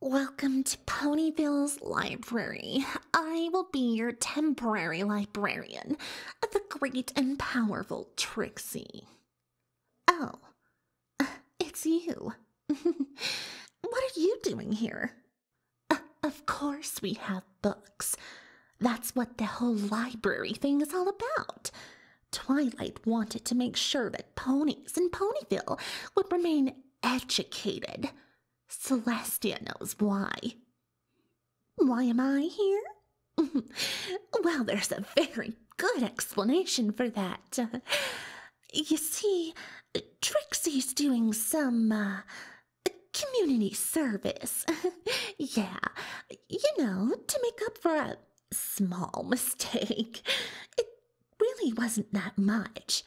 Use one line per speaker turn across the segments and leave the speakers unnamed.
Welcome to Ponyville's library. I will be your temporary librarian, the great and powerful Trixie. Oh, it's you. what are you doing here? Uh, of course, we have books. That's what the whole library thing is all about. Twilight wanted to make sure that ponies in Ponyville would remain educated. Celestia knows why. Why am I here? well, there's a very good explanation for that. you see, Trixie's doing some uh, community service. yeah, you know, to make up for a small mistake really wasn't that much.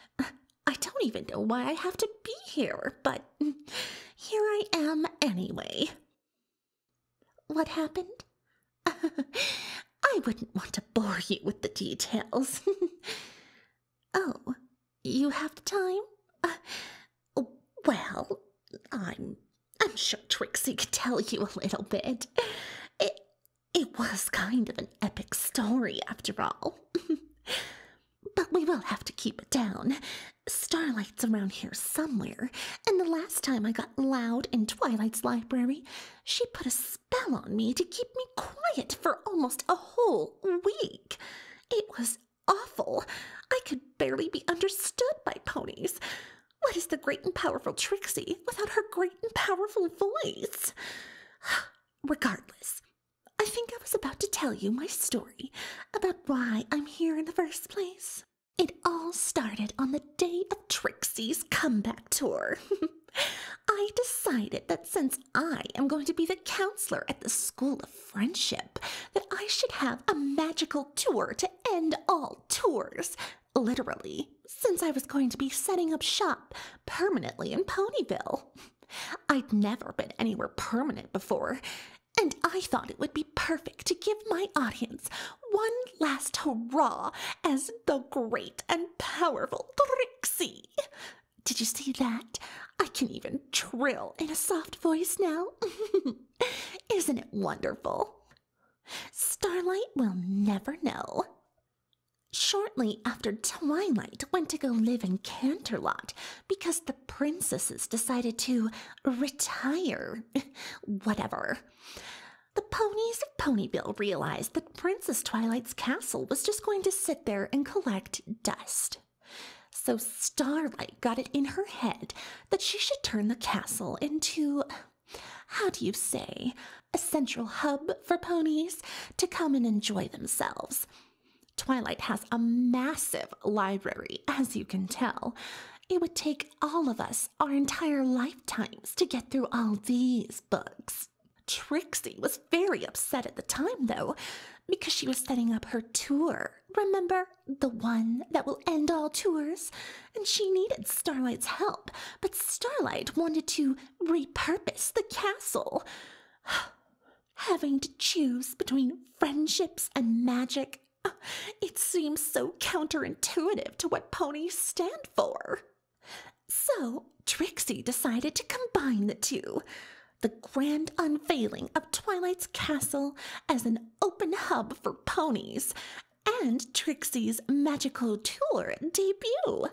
I don't even know why I have to be here, but here I am anyway. What happened? I wouldn't want to bore you with the details. oh, you have the time? well, I'm I'm sure Trixie could tell you a little bit. It was kind of an epic story, after all. but we will have to keep it down. Starlight's around here somewhere, and the last time I got loud in Twilight's library, she put a spell on me to keep me quiet for almost a whole week. It was awful. I could barely be understood by ponies. What is the great and powerful Trixie without her great and powerful voice. Regardless, I think I was about to tell you my story about why I'm here in the first place. It all started on the day of Trixie's comeback tour. I decided that since I am going to be the counselor at the School of Friendship, that I should have a magical tour to end all tours literally, since I was going to be setting up shop permanently in Ponyville. I'd never been anywhere permanent before, and I thought it would be perfect to give my audience one last hurrah as the great and powerful Trixie. Did you see that? I can even trill in a soft voice now. Isn't it wonderful? Starlight will never know. Shortly after twilight, went to go live in Canterlot because the princesses decided to retire. Whatever. The ponies of Ponyville realized that Princess Twilight's castle was just going to sit there and collect dust. So Starlight got it in her head that she should turn the castle into how do you say, a central hub for ponies to come and enjoy themselves. Twilight has a massive library, as you can tell. It would take all of us our entire lifetimes to get through all these books. Trixie was very upset at the time, though, because she was setting up her tour. Remember, the one that will end all tours? and she needed Starlight's help, but Starlight wanted to repurpose the castle. Having to choose between friendships and magic, it seems so counterintuitive to what ponies stand for. So, Trixie decided to combine the two the grand unveiling of Twilight's castle as an open hub for ponies and Trixie's magical tour debut.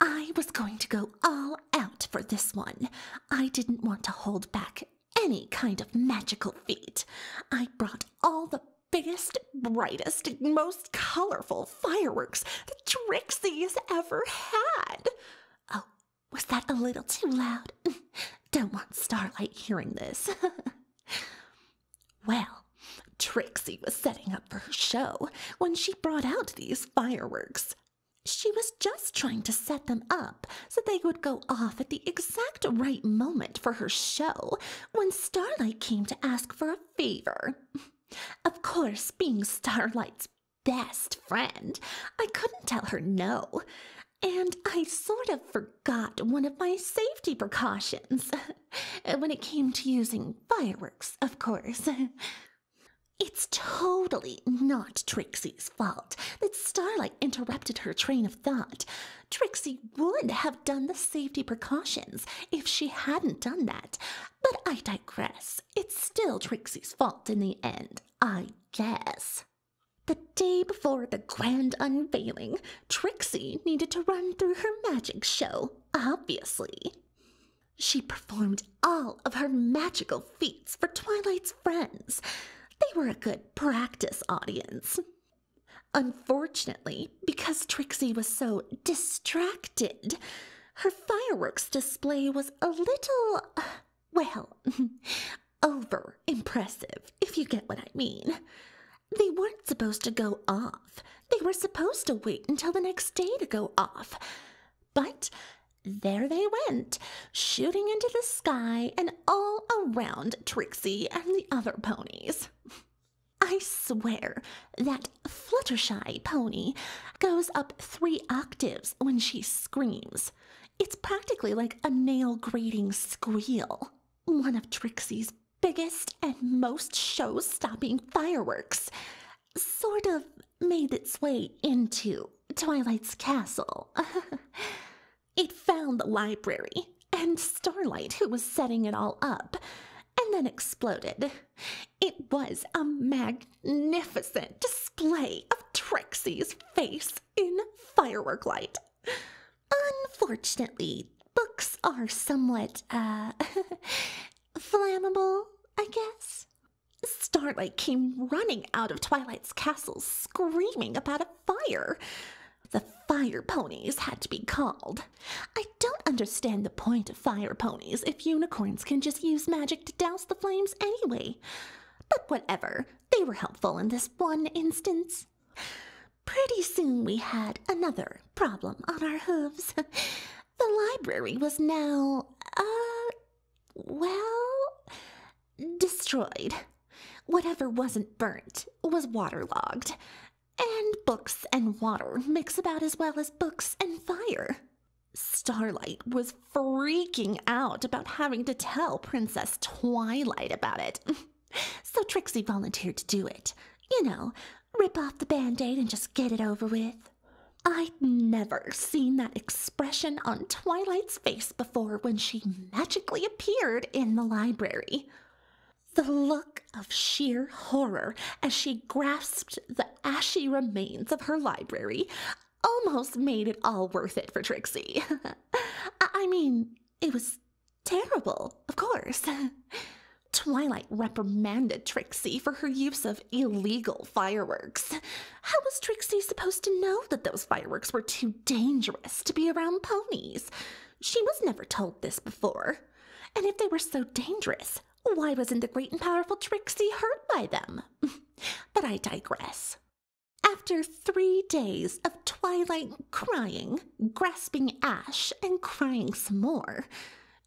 I was going to go all out for this one. I didn't want to hold back any kind of magical feat. I brought all the biggest, brightest, most colorful fireworks that Trixie has ever had. Oh, was that a little too loud? Don't want Starlight hearing this. Well, Trixie was setting up for her show when she brought out these fireworks. She was just trying to set them up so they would go off at the exact right moment for her show when Starlight came to ask for a favor. Of course, being Starlight's best friend, I couldn't tell her no. And I sort of forgot one of my safety precautions. Uh, when it came to using fireworks, of course. It's totally not Trixie's fault that Starlight interrupted her train of thought. Trixie would have done the safety precautions if she hadn't done that. But I digress. It's still Trixie's fault in the end, I guess. The day before the grand unveiling, Trixie needed to run through her magic show, obviously. She performed all of her magical feats for Twilight's friends. They were a good practice audience. Unfortunately, because Trixie was so distracted, her fireworks display was a little, well, over impressive, if you get what I mean. They weren't supposed to go off. They were supposed to wait until the next day to go off. But there they went, shooting into the sky and all around Trixie and the other ponies. I swear that Fluttershy pony goes up three octaves when she screams. It's practically like a nail grating squeal, one of Trixie's biggest and most show stopping fireworks sort of made its way into Twilight's castle. it found the library and Starlight, who was setting it all up, and then exploded. It was a magnificent display of Trexie's face in firework light. Unfortunately, books are somewhat, uh, flammable, I guess. Starlight came running out of Twilight's castle screaming about a fire. The fire ponies had to be called. I don't understand the point of fire ponies if unicorns can just use magic to douse the flames anyway. But whatever, they were helpful in this one instance. Pretty soon we had another problem on our hooves. The library was now, uh, well, destroyed. Whatever wasn't burnt was waterlogged. And books and water mix about as well as books and fire. Starlight was freaking out about having to tell Princess Twilight about it. so Trixie volunteered to do it. You know, rip off the band aid and just get it over with. I'd never seen that expression on Twilight's face before when she magically appeared in the library. The look of sheer horror as she grasped the ashy remains of her library almost made it all worth it for Trixie. I mean, it was Terrible, of course. Twilight reprimanded Trixie for her use of illegal fireworks. How was Trixie supposed to know that those fireworks were too dangerous to be around ponies? She was never told this before. And if they were so dangerous, why wasn't the great and powerful Trixie hurt by them? but I digress. After three days of Twilight crying, grasping ash, and crying some more,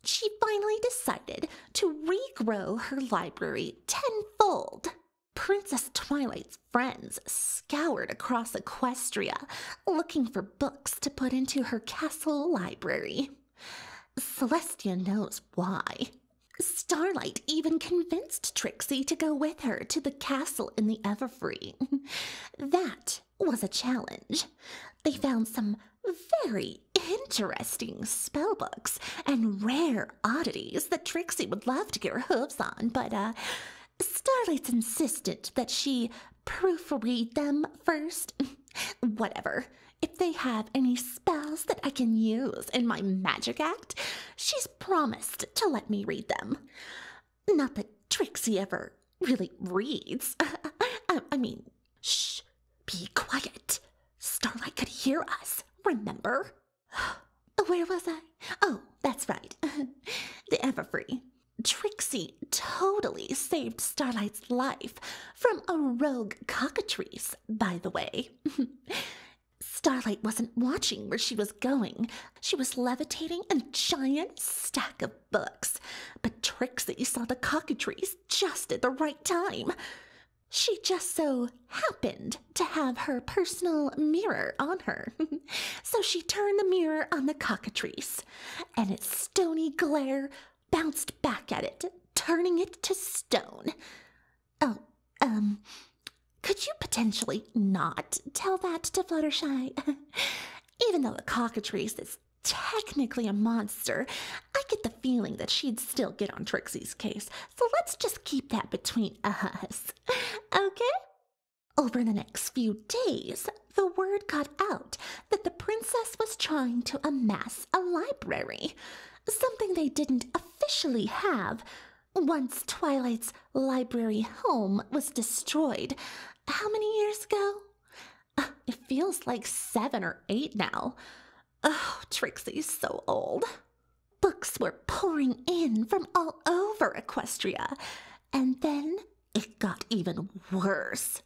she finally decided to regrow her library tenfold. Princess Twilight's friends scoured across Equestria looking for books to put into her castle library. Celestia knows why. Starlight even convinced Trixie to go with her to the castle in the Everfree. That was a challenge. They found some very interesting spellbooks and rare oddities that Trixie would love to get her hooves on, but uh, Starlight's insisted that she proofread them first. Whatever. If they have any spells that I can use in my magic act, she's promised to let me read them. Not that Trixie ever really reads. Um, I, mean, shh, be quiet. Starlight could hear us, remember? Where was I? Oh, that's right. the Everfree. Trixie totally saved Starlight's life from a rogue cockatrice, by the way. Starlight wasn't watching where she was going, she was levitating a giant stack of books, but tricks that you saw the cockatrice just at the right time. She just so happened to have her personal mirror on her. so she turned the mirror on the cockatrice, and its stony glare bounced back at it, turning it to stone. Oh, um, could you potentially not tell that to Fluttershy? Even though the cockatrice is technically a monster, I get the feeling that she'd still get on Trixie's case, so let's just keep that between us. Okay? Over the next few days, the word got out that the princess was trying to amass a library, something they didn't officially have, once Twilight's library home was destroyed, how many years ago? Uh, it feels like seven or eight now. Oh, Trixie's so old. Books were pouring in from all over Equestria, and then it got even worse.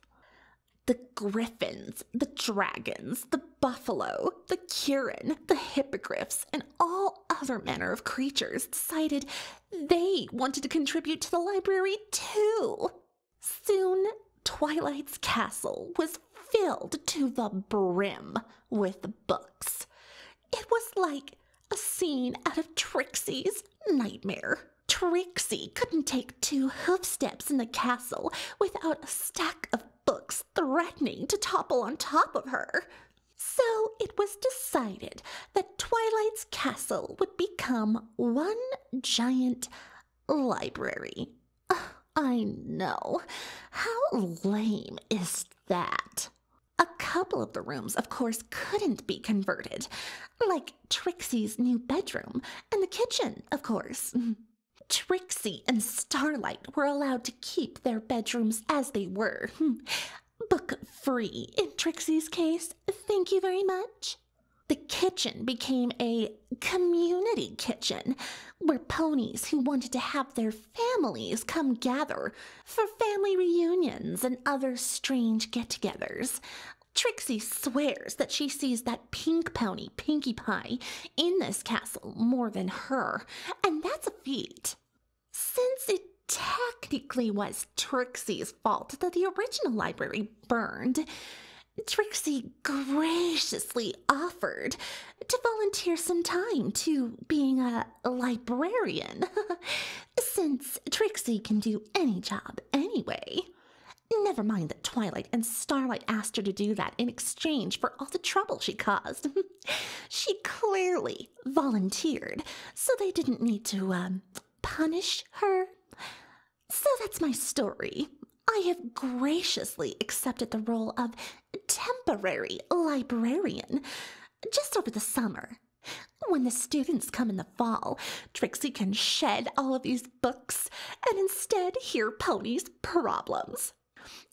The griffins, the dragons, the buffalo, the Curin, the hippogriffs, and all other manner of creatures decided they wanted to contribute to the library too. Soon, Twilight's castle was filled to the brim with books. It was like a scene out of Trixie's nightmare. Trixie couldn't take two hoofsteps in the castle without a stack of books threatening to topple on top of her. So it was decided that Twilight's castle would become one giant library. I know. How lame is that? A couple of the rooms, of course, couldn't be converted, like Trixie's new bedroom and the kitchen, of course. Trixie and Starlight were allowed to keep their bedrooms as they were. book free in Trixie's case. Thank you very much. The kitchen became a community kitchen where ponies who wanted to have their families come gather for family reunions and other strange get togethers. Trixie swears that she sees that pink pony, Pinkie Pie, in this castle more than her, and that's a feat. Since it technically was Trixie's fault that the original library burned, Trixie graciously offered to volunteer some time to being a librarian, since Trixie can do any job anyway. Never mind that Twilight and Starlight asked her to do that in exchange for all the trouble she caused. she clearly volunteered, so they didn't need to, um, punish her. So that's my story. I have graciously accepted the role of temporary librarian just over the summer. When the students come in the fall, Trixie can shed all of these books and instead hear Pony's problems.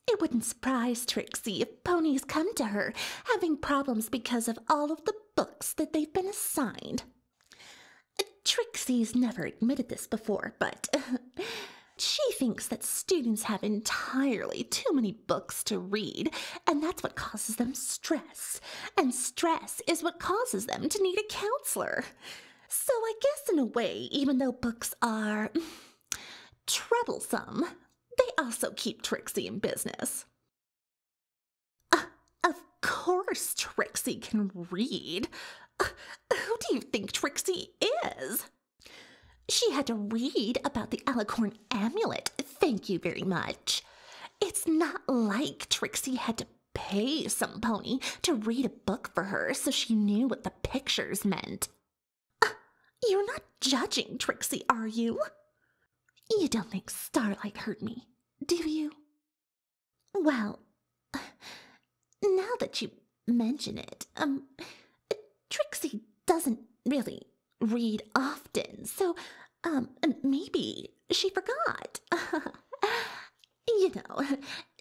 It wouldn't surprise Trixie if ponies come to her, having problems because of all of the books that they've been assigned. Trixie's never admitted this before, but she thinks that students have entirely too many books to read, and that's what causes them stress. And stress is what causes them to need a counselor. So I guess, in a way, even though books are Troublesome. They also keep Trixie in business. Uh, of course Trixie can read. Uh, who do you think Trixie is? She had to read about the alicorn amulet, thank you very much. It's not like Trixie had to pay some pony to read a book for her so she knew what the pictures meant. You're not judging, Trixie, are you? You don't think Starlight hurt me, do you? Well, now that you mention it, um, Trixie doesn't really read often, so, um, maybe she forgot. you know,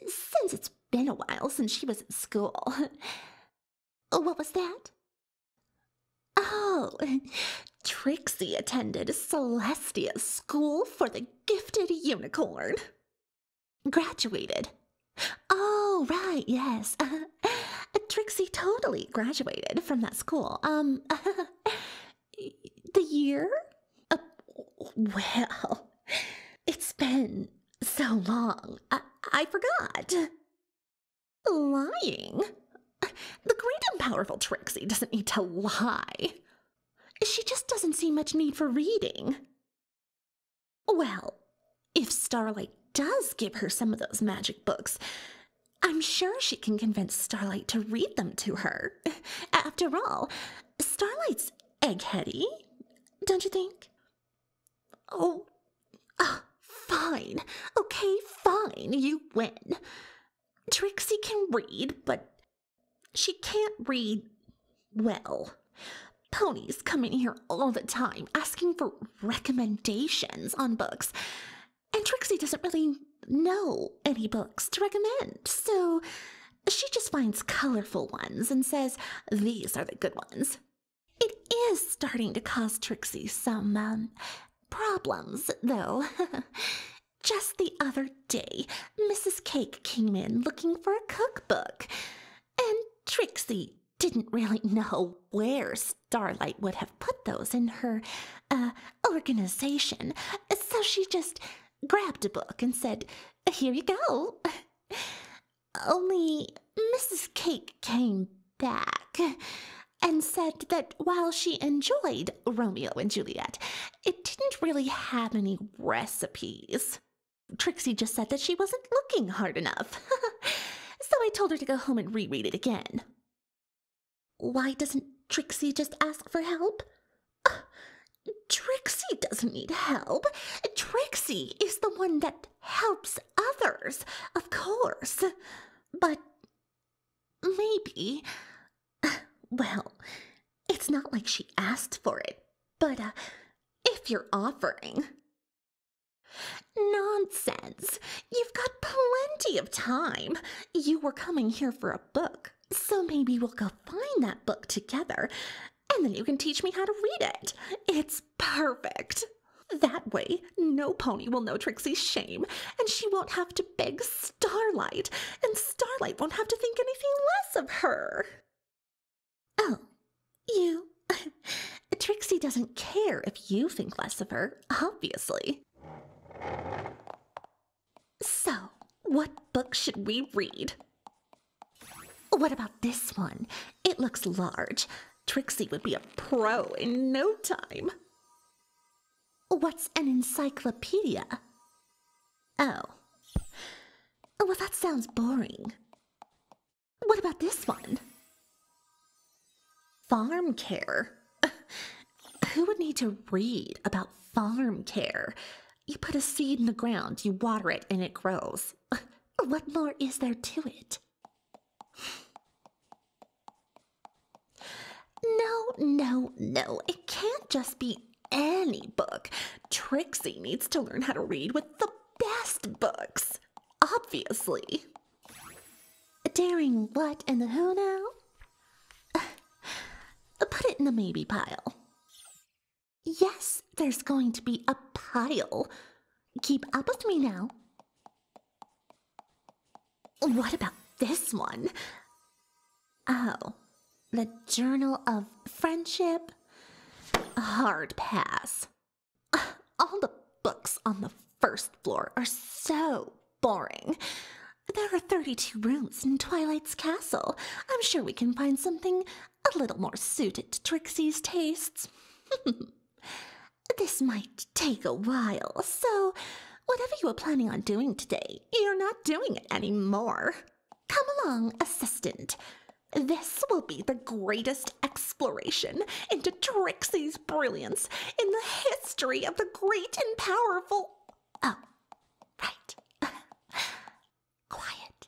since it's been a while since she was at school. What was that? Oh, Trixie attended Celestia's School for the Gifted Unicorn. Graduated. Oh, right, yes. Trixie totally graduated from that school. Um, the year? Uh, well, it's been so long. I forgot. Lying? The great and powerful Trixie doesn't need to lie. She just doesn't see much need for reading. Well, if Starlight does give her some of those magic books, I'm sure she can convince Starlight to read them to her. After all, Starlight's eggheady, don't you think? Oh, uh, fine. Okay, fine. You win. Trixie can read, but she can't read well. Ponies come in here all the time asking for recommendations on books, and Trixie doesn't really know any books to recommend, so she just finds colorful ones and says, These are the good ones. It is starting to cause Trixie some, um, problems, though. Just the other day, Mrs. Cake came in looking for a cookbook, and Trixie didn't really know where Starlight would have put those in her uh, organization, so she just grabbed a book and said, Here you go. Only Mrs. Cake came back and said that while she enjoyed Romeo and Juliet, it didn't really have any recipes. Trixie just said that she wasn't looking hard enough. so I told her to go home and reread it again. Why doesn't Trixie just ask for help? Trixie doesn't need help. Trixie is the one that helps others, of course. But maybe. Well, it's not like she asked for it, but uh, if you're offering. Nonsense! You've got plenty of time. You were coming here for a book, so maybe we'll go find that book together and then you can teach me how to read it. It's perfect. That way, no pony will know Trixie's shame, and she won't have to beg Starlight, and Starlight won't have to think anything less of her. Oh, you. Trixie doesn't care if you think less of her, obviously. So, what book should we read? What about this one? It looks large. Trixie would be a pro in no time. What's an encyclopedia? Oh. Well, that sounds boring. What about this one? Farm care. Who would need to read about farm care? You put a seed in the ground, you water it, and it grows. What more is there to it? No, no, no. It can't just be any book. Trixie needs to learn how to read with the best books. Obviously. A Daring what and a who now? Put it in the maybe pile. Yes, there's going to be a pile. Keep up with me now. What about this one? Oh, the Journal of Friendship? Hard pass. All the books on the first floor are so boring. There are 32 rooms in Twilight's castle. I'm sure we can find something a little more suited to Trixie's tastes. this might take a while, so whatever you were planning on doing today, you're not doing it anymore. Come along, assistant. This will be the greatest exploration into Trixie's brilliance in the history of the great and powerful. Oh, right. Quiet.